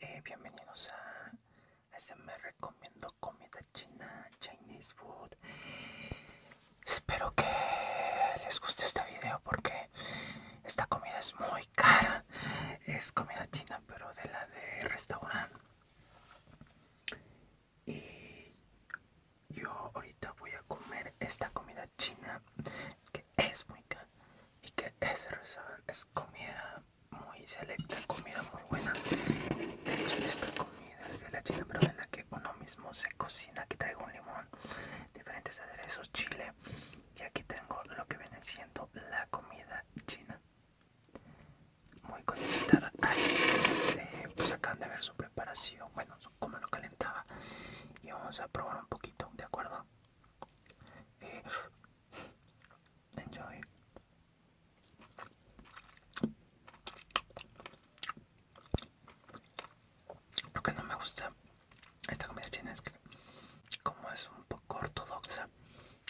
Eh, bienvenidos a me recomiendo comida china, Chinese food. Espero que les guste este video porque esta comida es muy cara. Es comida china, pero de la de restaurante. Y yo ahorita voy a comer esta comida china es muy caro y que es comida muy selecta, comida muy buena. De hecho, esta comida es de la China, pero de la que uno mismo se cocina. Aquí traigo un limón, diferentes aderezos, chile. Y aquí tengo lo que viene siendo la comida china. Muy conectada este, pues acaban de ver su preparación. Bueno, como lo calentaba. Y vamos a probar un poquito, ¿de acuerdo? Eh, Enjoy. Lo que no me gusta esta comida china es que como es un poco ortodoxa,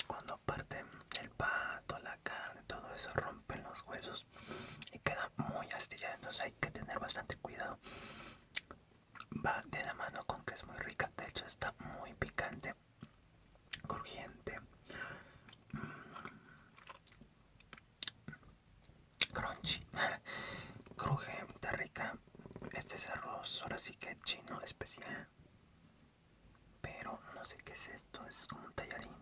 cuando parten el pato, la carne, todo eso rompen los huesos y queda muy astillado, entonces hay que tener bastante cuidado va de la mano con que es muy rica. De hecho, está muy picante, crujiente, mm, crunchy, crujiente, rica. Este es arroz, ahora sí que chino especial. Pero no sé qué es esto, es como un tallarín.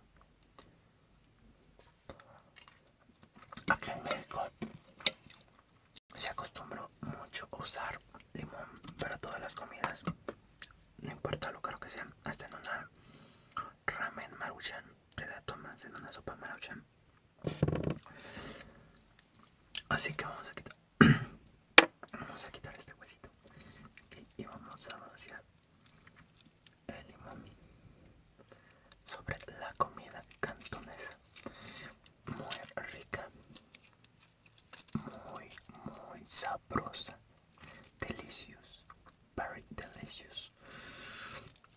Aquí en México se acostumbró mucho a usar limón para todas las comidas, no importa lo caro que sea, hasta en una ramen maruchan te la tomas en una sopa maruchan. Así que vamos a quitar, vamos a quitar este huesito y vamos a vaciar el limón sobre la comida cantonesa, muy rica. muy muy sabrosa delicious very delicious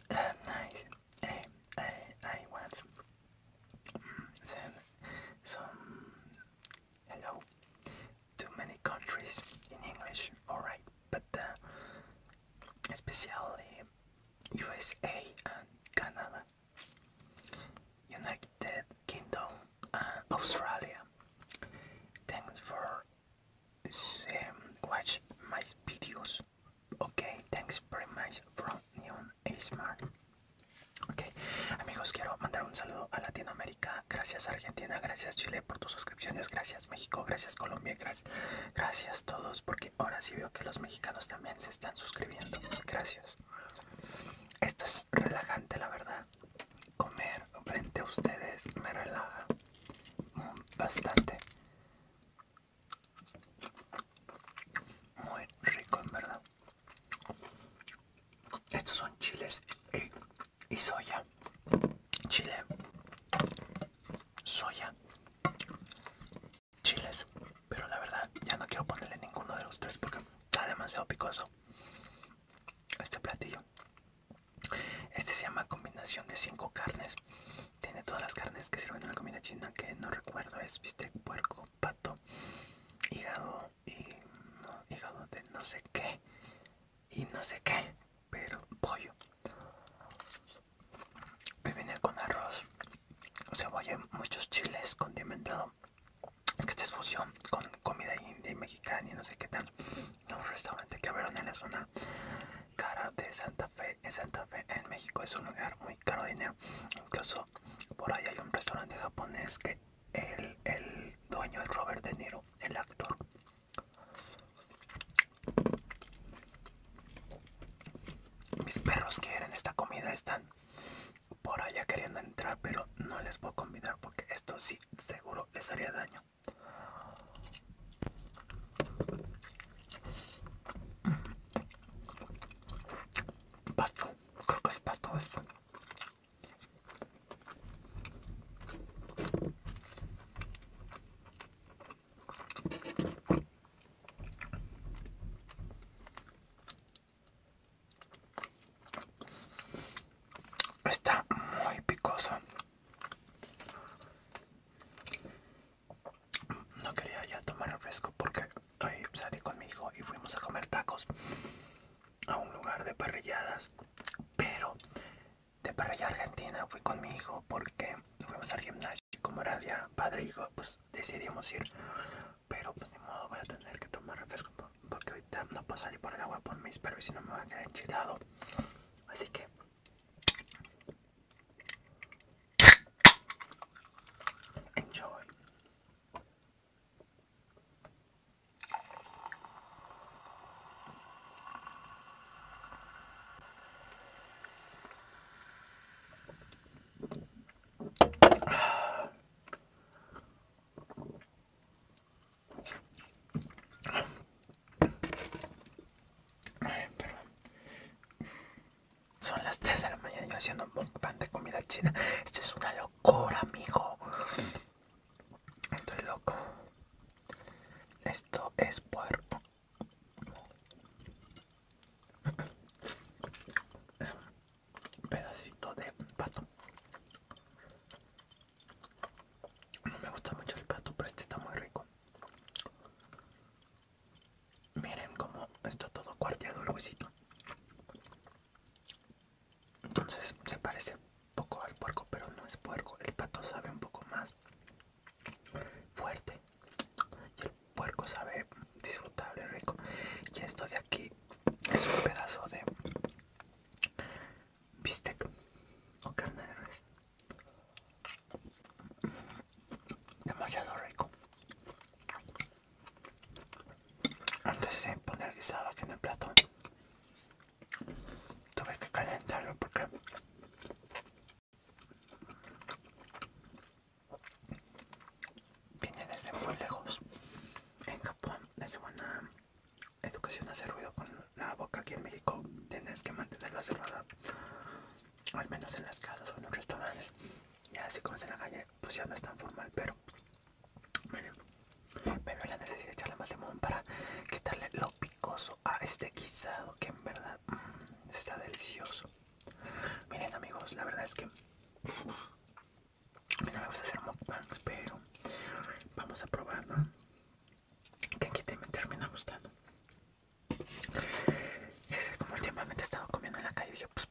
and uh, nice uh, I want send some hello to many countries in English alright but uh, especially USA and Canada United Kingdom Australia. Thanks for watching watch my videos. Okay, thanks very much from Neon Smart. Ok, amigos, quiero mandar un saludo a Latinoamérica. Gracias Argentina, gracias Chile por tus suscripciones, gracias México, gracias Colombia, gracias, gracias todos, porque ahora sí veo que los mexicanos también se están suscribiendo. Gracias. Esto es relajante, la verdad. Comer frente a ustedes me relaja mm, bastante. Muy rico, en verdad. Estos son chiles y soya. Chile. Soya. Chiles. Pero la verdad, ya no quiero ponerle ninguno de los tres porque está demasiado picoso este platillo. Este se llama combinación de cinco carnes. Tiene todas las carnes que sirven en la comida china, que no recuerdo, es viste, puerco, pato, hígado y no, hígado de no sé qué y no sé qué, pero pollo. a viene con arroz, O cebolla, muchos chiles condimentados es que esta es fusión con comida india y mexicana y no sé qué tal. Un restaurante que abrieron en la zona cara de Santa Fe. En Santa Fe, en México, es un lugar muy caro de dinero. Incluso por ahí hay un restaurante japonés que el, el dueño es Robert De Niro, el actor. Mis perros quieren esta comida, están por allá queriendo entrar, pero no les puedo convidar porque esto sí seguro les haría daño. Pasto, Está muy picoso. No quería ya tomar refresco porque hoy salí con mi hijo y fuimos a comer tacos a un lugar de parrilladas. Pero de parrilla argentina fui con mi hijo porque fuimos al gimnasio. Y como era ya padre hijo, pues decidimos ir. Pero pues ni modo, voy a tener que tomar refresco porque ahorita no puedo salir por el agua por mí, espero y si no me voy a quedar enchilado. Así que... Enjoy. Son las 3 de la mañana yo haciendo un pan de comida china. Esto es una locura, amigo. Estoy loco. Esto es puerco pedacito de pato. No me gusta mucho el pato, pero este está muy rico. Miren cómo está todo cuarteado el huesito. Entonces se parece un poco al puerco, pero no es puerco. El pato sabe un poco más fuerte. Y el puerco sabe disfrutable, rico. Y esto de aquí es un pedazo de bistec o carne de res demasiado rico antes de poner guisado aquí en el plato tuve que calentarlo porque viene desde muy lejos. En Japón desde buena educación hace ruido con la boca. Aquí en México tienes que mantenerla cerrada, al menos en las casas o en los restaurantes. y así como en la calle, pues ya no es tan formal, pero me la necesidad de echarle más limón para quitarle lo picoso a este guisado que en verdad mm, está delicioso. Miren amigos, la verdad es que a mí no me gusta hacer mukbangs, pero vamos a probarlo Que aquí también me termina gustando. es como últimamente he estado comiendo en la calle, dije, pues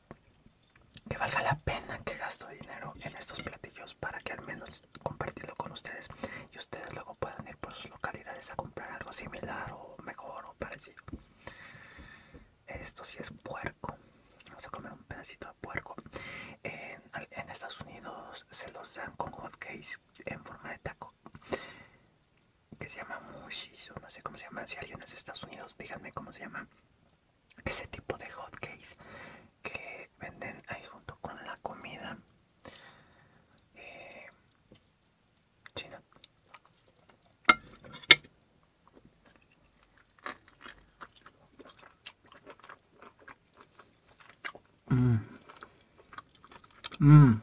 que valga la pena que gasto dinero en estos platillos para que al menos compartirlo con ustedes y ustedes luego puedan ir por sus localidades a comprar algo similar o mejor o parecido. Esto sí es puerco. Vamos a comer un pedacito de puerco. En, Estados Unidos se los dan con hot en forma de taco. Que se llama mushis o no sé cómo se llama. Si alguien es de Estados Unidos, díganme cómo se llama ese tipo de hot que venden ahí junto con la comida eh, china Mmm.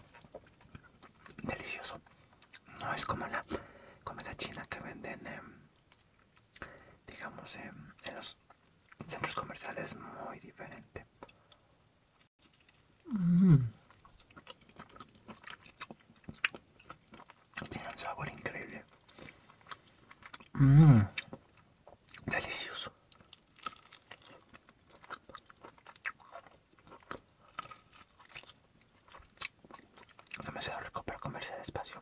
Delicioso. No es como la comida china que venden, digamos, en los centros comerciales. Muy diferente. Mm. Tiene un sabor increíble. Mmm. Delicioso. Demasiado rico para comerse despacio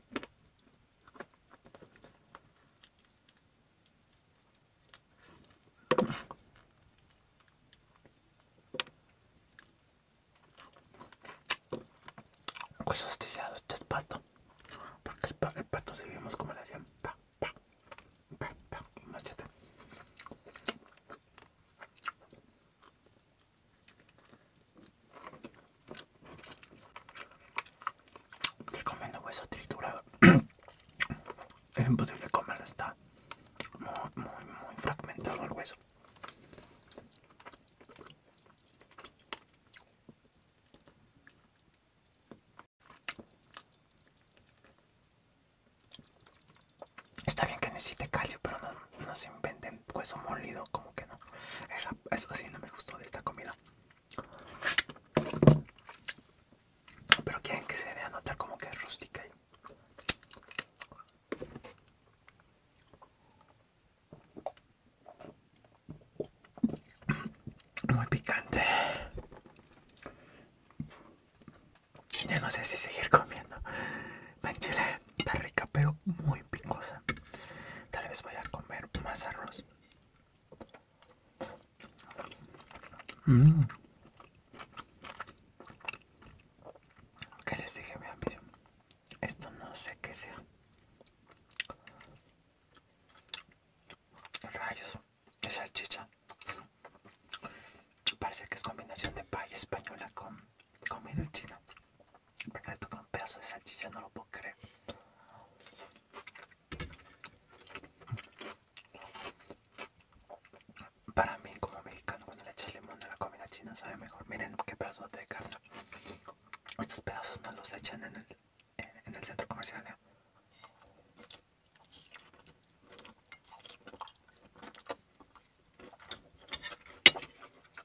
Hueso astillado, este es pato. Porque el, pato se vimos como le hacían pa, pa, pa, pa, machete. Estoy comiendo hueso triturado. es imposible comerlo, está muy, muy, muy fragmentado el hueso. Está bien que necesite calcio, pero no no se inventen hueso molido, como que no. eso sí no me gustó de esta comida. Pero quieren que se vea notar como que es rústica. Muy picante. Ya no sé si seguir comiendo. La chile está rica, pero muy picosa. Tal vez voy a comer más arroz. que mm. ¿Qué les dije? mi amigo? Esto no sé qué sea. Rayos. Es salchicha. Parece que es combinación de paella española con comida china. Porque le toca un pedazo de salchicha, no lo puedo creer. Para mí, como mexicano, cuando le echas limón a la comida china sabe mejor. Miren qué pedazos de carne. Estos pedazos no los echan en el, en, el centro comercial. ¿eh?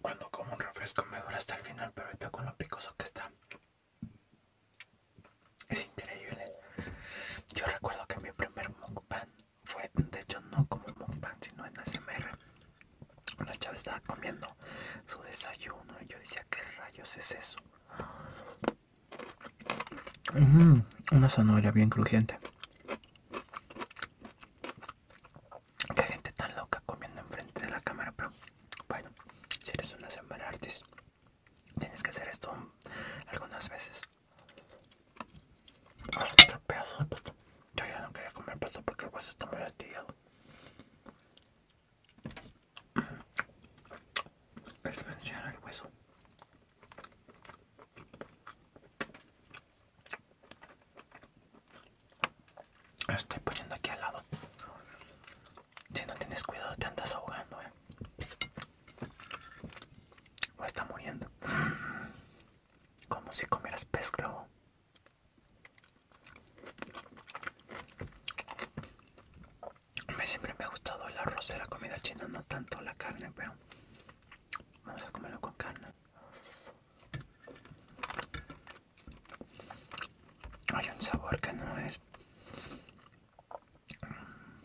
Cuando como un refresco me dura hasta el final, pero ahorita con lo picoso que está. Es increíble. Yo recuerdo que mi primer mukbang fue, de hecho no como mukbang, sino en ASMR. Una chava estaba comiendo su desayuno y yo decía, ¿qué rayos es eso? una zanahoria bien crujiente. Qué gente tan loca comiendo enfrente de la cámara, pero bueno, si eres una semana artis, tienes que hacer esto algunas veces. Otro pedazo de Yo ya no quería comer pasto porque el hueso está muy astillado. Es mencionar el hueso. Lo estoy poniendo aquí al lado. Si no tienes cuidado te andas ahogando, eh. O está muriendo. Como si comieras pez globo. siempre me ha gustado el arroz de la comida china, no tanto la carne, pero vamos a comerlo con carne. Hay un sabor que no es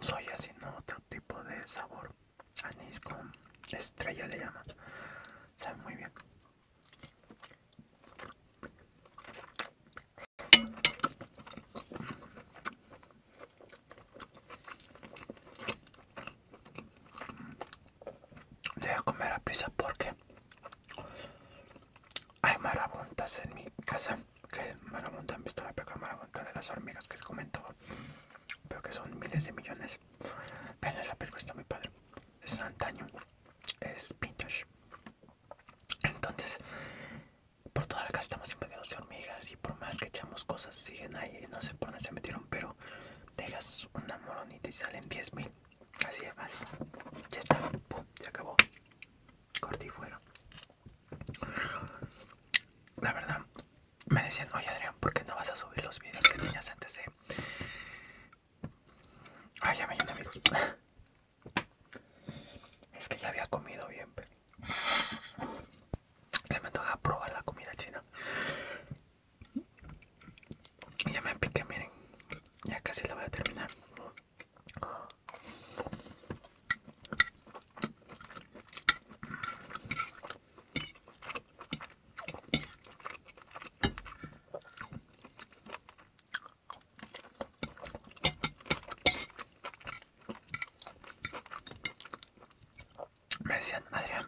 soya, sino otro tipo de sabor. Anís con estrella le llaman. Sabe muy bien. Voy a comer a pizza porque hay marabontas en mi casa. Que marabunta han visto la marabunta de las hormigas que se comentó Pero que son miles de millones. Vean esa película, está muy padre. Es antaño. Es vintage. Entonces, por toda la casa estamos invadidos de hormigas y por más que echamos cosas siguen ahí. No se por dónde se metieron, pero dejas una moronita y salen 10.000. Así es fácil. Ya está. Pum, se acabó. cortí fuera. La verdad, me decían, oye Adrián, ¿por qué no vas a subir los videos que tenías antes de... ay ya me llené, amigos. Es que ya había comido bien, Se me antoja probar la comida china. Ya me piqué, miren. Ya casi lo voy a terminar. Me decían, Adrián,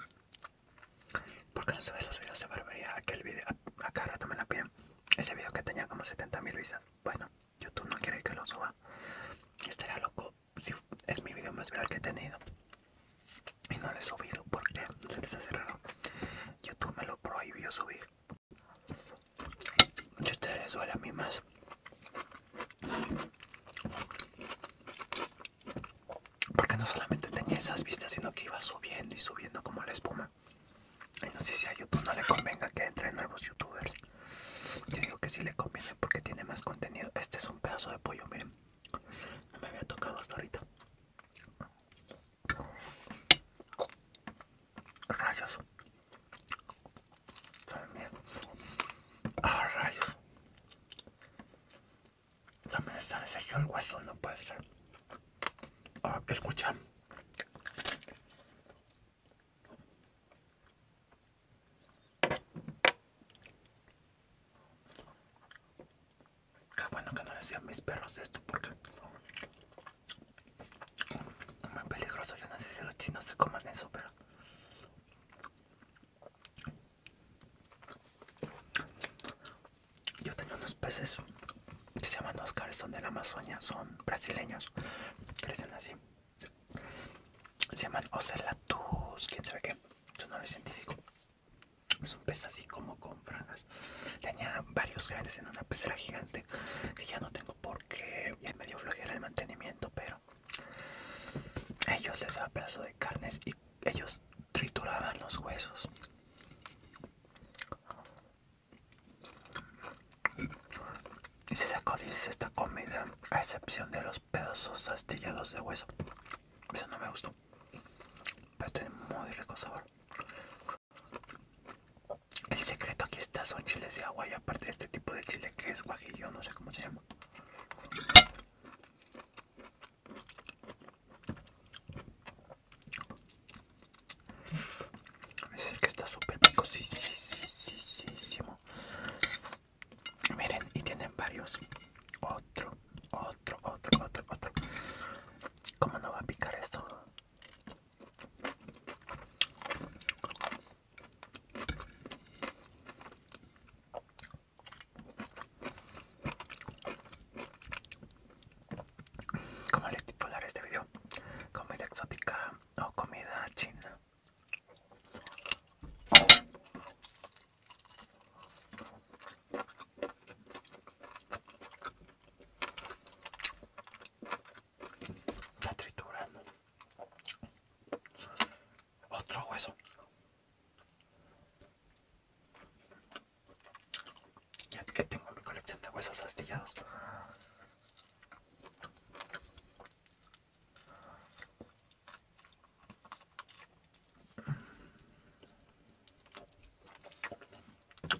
¿por qué no ve los videos de barbería? Aquel video, acá rato la piden ese video que tenía como mil vistas. Bueno, YouTube no quiere que lo suba. Estaría loco si es mi video más viral que he tenido. Y no lo he subido porque se les hace YouTube me lo prohibió subir. Yo te les duele a mí más. Porque no solamente tenía esas vistas, sino que iba subiendo y subiendo como la espuma no sé si a YouTube no le convenga que entre nuevos youtubers. Yo digo que sí le conviene porque tiene más contenido. Este es un pedazo de pollo, miren. No me había tocado hasta ahorita. Rayos. También. Ah, rayos. También está el hueso, no puede ser. Ah, escucha. que bueno que no decían mis perros esto porque es muy peligroso. Yo no sé si los chinos se coman eso, pero yo tengo unos peces que se llaman Oscar, son de la Amazonia, son brasileños, crecen así. Se llaman Ocelatus, quién sabe qué, su nombre científico. Es un pez así como con frangas Tenía varios grandes en una pecera gigante que ya no tengo porque el medio flojera el mantenimiento, pero ellos les daban pedazo de carnes y ellos trituraban los huesos y se sacó, dice, esta comida, a excepción de los pedazos astillados de hueso. Eso no me gustó. Pero tiene muy rico sabor. El secreto aquí está, son chiles de agua y aparte de este tipo de chile que es guajillo, no sé cómo se llama. Es que está súper Miren, y tienen varios. Otro, otro, otro, otro, otro. ¿Cómo no va a picar esto? como le titularé este video, comida exótica o comida china. La tritura Otro hueso. Ya que tengo mi colección de huesos astillados.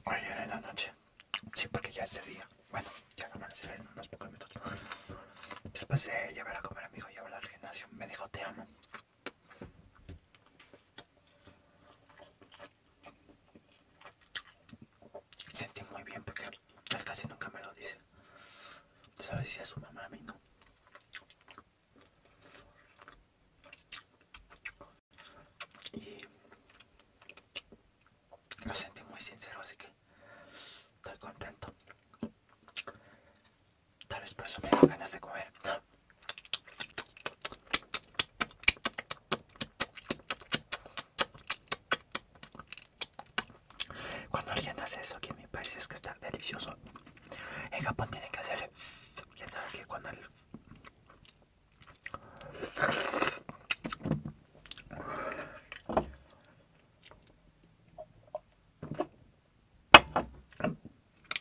Ayer en la noche. Sí, porque ya es de día. Bueno, ya no amanecer en unos pocos minutos. Después de llevar a comer a mi hijo y llevarlo al gimnasio, me dijo te amo. Sentí muy bien porque él casi nunca me lo dice. Sabes si a su mamá a mí no. Y lo sentí muy sincero, así que estoy contento. Tal vez por eso me dan ganas de comer. Cuando alguien hace eso que me parece es que está delicioso. El Japón tiene que hacer ya sabes que cuando el...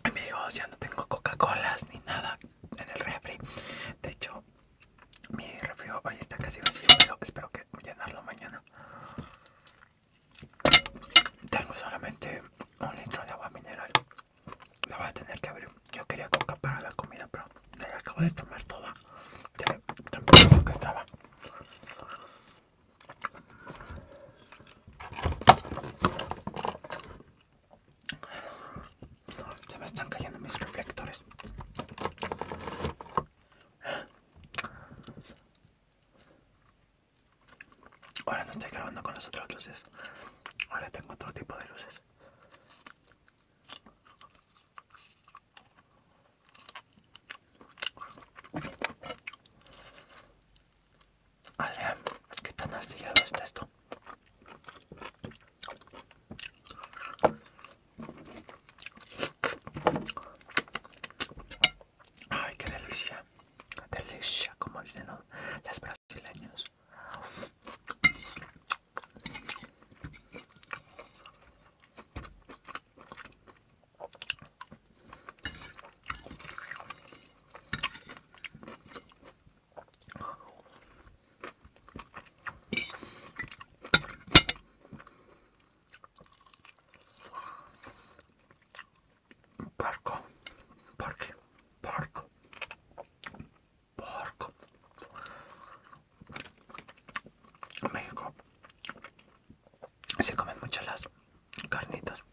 Amigos, ya no tengo Coca-Colas ni nada en el refri. De hecho, mi refrigerador ahí está casi vacío, pero espero que llenarlo mañana. Tengo solamente un litro de agua mineral. La voy a tener que abrir. Yo quería coca para la comida, pero la acabo de tomar toda. de lo que estaba. Se me están cayendo mis reflectores. Ahora no estoy grabando con las otras luces. Ahora tengo otro tipo de luces. es que tan astillado está esto? Ay, qué delicia, delicia, como dicen los, brasileños. Porco, porque, porco, porco. México se comen muchas las carnitas.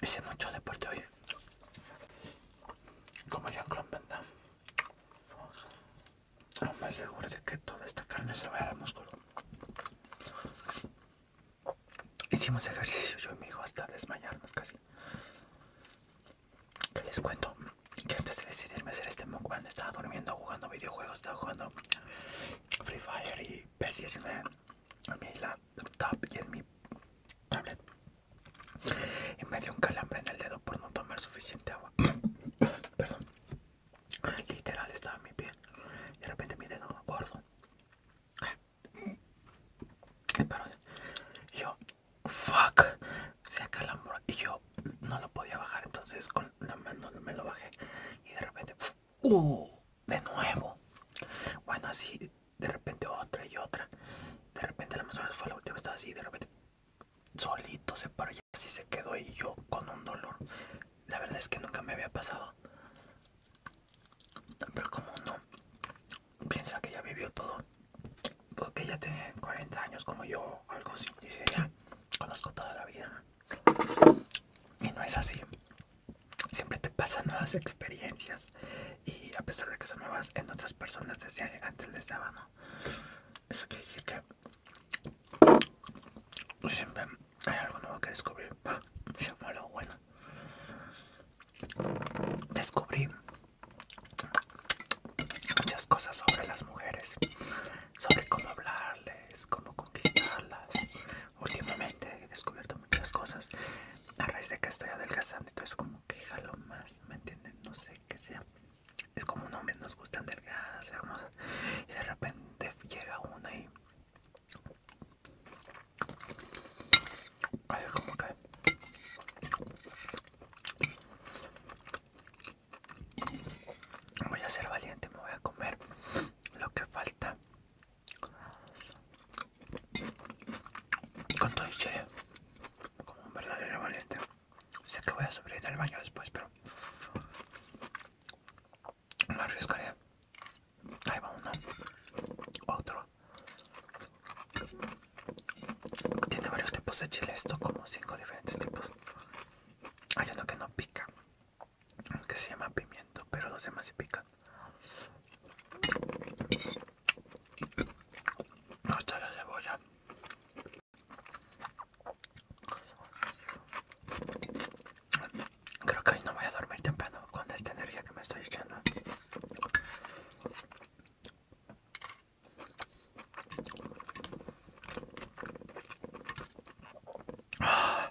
Hice mucho deporte hoy. Como Jean-Claude Van Damme. Lo más seguro de que toda esta carne se va vaya al músculo. Hicimos ejercicio yo y mi hijo hasta desmayarnos casi. ¿Qué les cuento que antes de decidirme hacer este mukbang estaba durmiendo, jugando videojuegos, estaba jugando Free Fire y precisamente a mí la laptop y en mi tablet y me dio un calambre en el dedo por no tomar suficiente agua perdón literal estaba en mi pie y de repente mi dedo gordo Y yo fuck se calambre y yo no lo podía bajar entonces con la mano me lo bajé y de repente de nuevo. Bueno, así de repente otra y otra. De repente la vez fue la última, estaba así, de repente solito se paró y así se quedó y yo con un dolor. La verdad es que nunca me había pasado. Pero como uno piensa que ya vivió todo, porque ya tiene 40 años como yo, algo así, dice ya, conozco toda la vida. Y no es así siempre te pasan nuevas experiencias y a pesar de que son nuevas en otras personas desde antes les daba, ¿no? Eso quiere decir que siempre hay algo nuevo que descubrir. bueno. Descubrí muchas cosas sobre las mujeres, sobre cómo hablarles, cómo quitarlas Últimamente he descubierto muchas cosas a raíz de que estoy adelgazando, y es como que lo más, ¿me entienden? No sé qué sea. Es como un hombre, nos gusta delgadas, hermosas, y de repente llega una y así como que voy a ser valiente, me voy a comer lo que falta con todo y como un verdadero valiente. Sé que voy a subir al baño después, pero me arriesgaré. Ahí va uno. Otro. Tiene varios tipos de chile, esto como cinco diferentes tipos. Hay uno que no pica, que se llama pimiento, pero se demás se pican. No está la cebolla. Creo que hoy no voy a dormir temprano con esta energía que me estoy echando. Ah.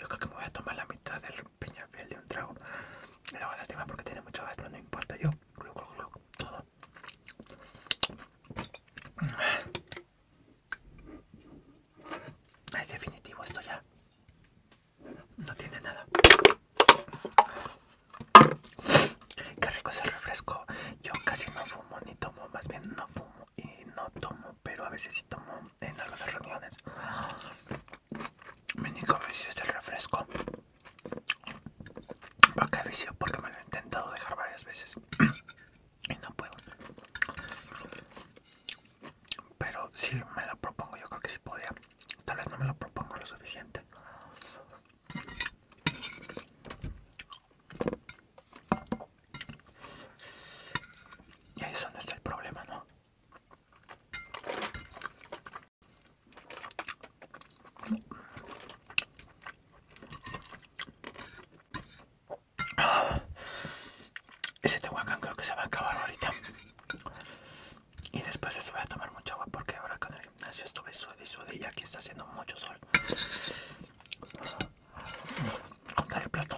Yo creo que me voy a tomar la mitad del piel de un trago. Luego la lástima porque tiene mucho gas, no importa. Yo, todo. Es definitivo esto ya. No tiene nada. Qué rico ese refresco. Yo casi no fumo ni tomo, más bien no fumo y no tomo, pero a veces sí tomo en algunas reuniones. me a ver refresco. va a vicio? Porque me lo he intentado dejar varias veces y no puedo. Pero si me lo propongo, yo creo que sí podría. Tal vez no me lo propongo lo suficiente. Y ahí es donde está el problema, ¿no? Ah, ese tehuacán creo que se va a acabar ahorita. Y después se voy a tomar mucha agua porque ahora con el gimnasio estuve suede y y aquí está haciendo mucho sol el plato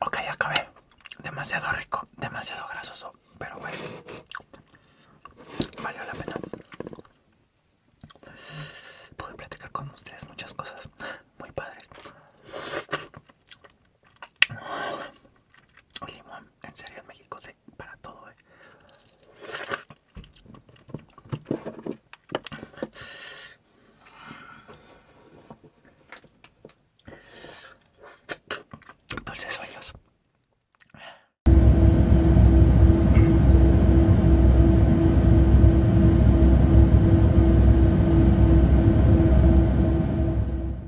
Ok, acabé. Demasiado rico, demasiado grasoso, pero bueno. Valió la pena. Pude platicar con ustedes muchas cosas muy padre Limón, en serio en México se para todo, eh. Dulces sueños.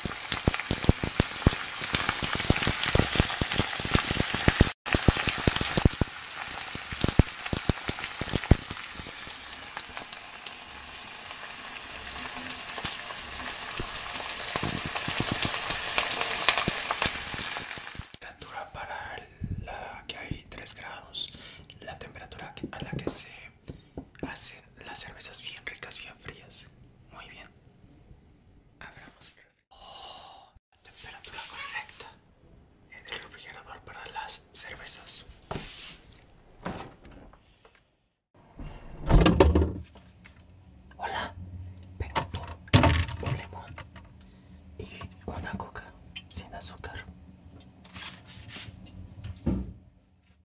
la temperatura para la que hay 3 grados la temperatura a la que se hacer las cervezas bien ricas, bien frías. Muy bien. Abramos oh, la temperatura correcta en el refrigerador para las cervezas. Hola, Tengo por un limón y una coca sin azúcar.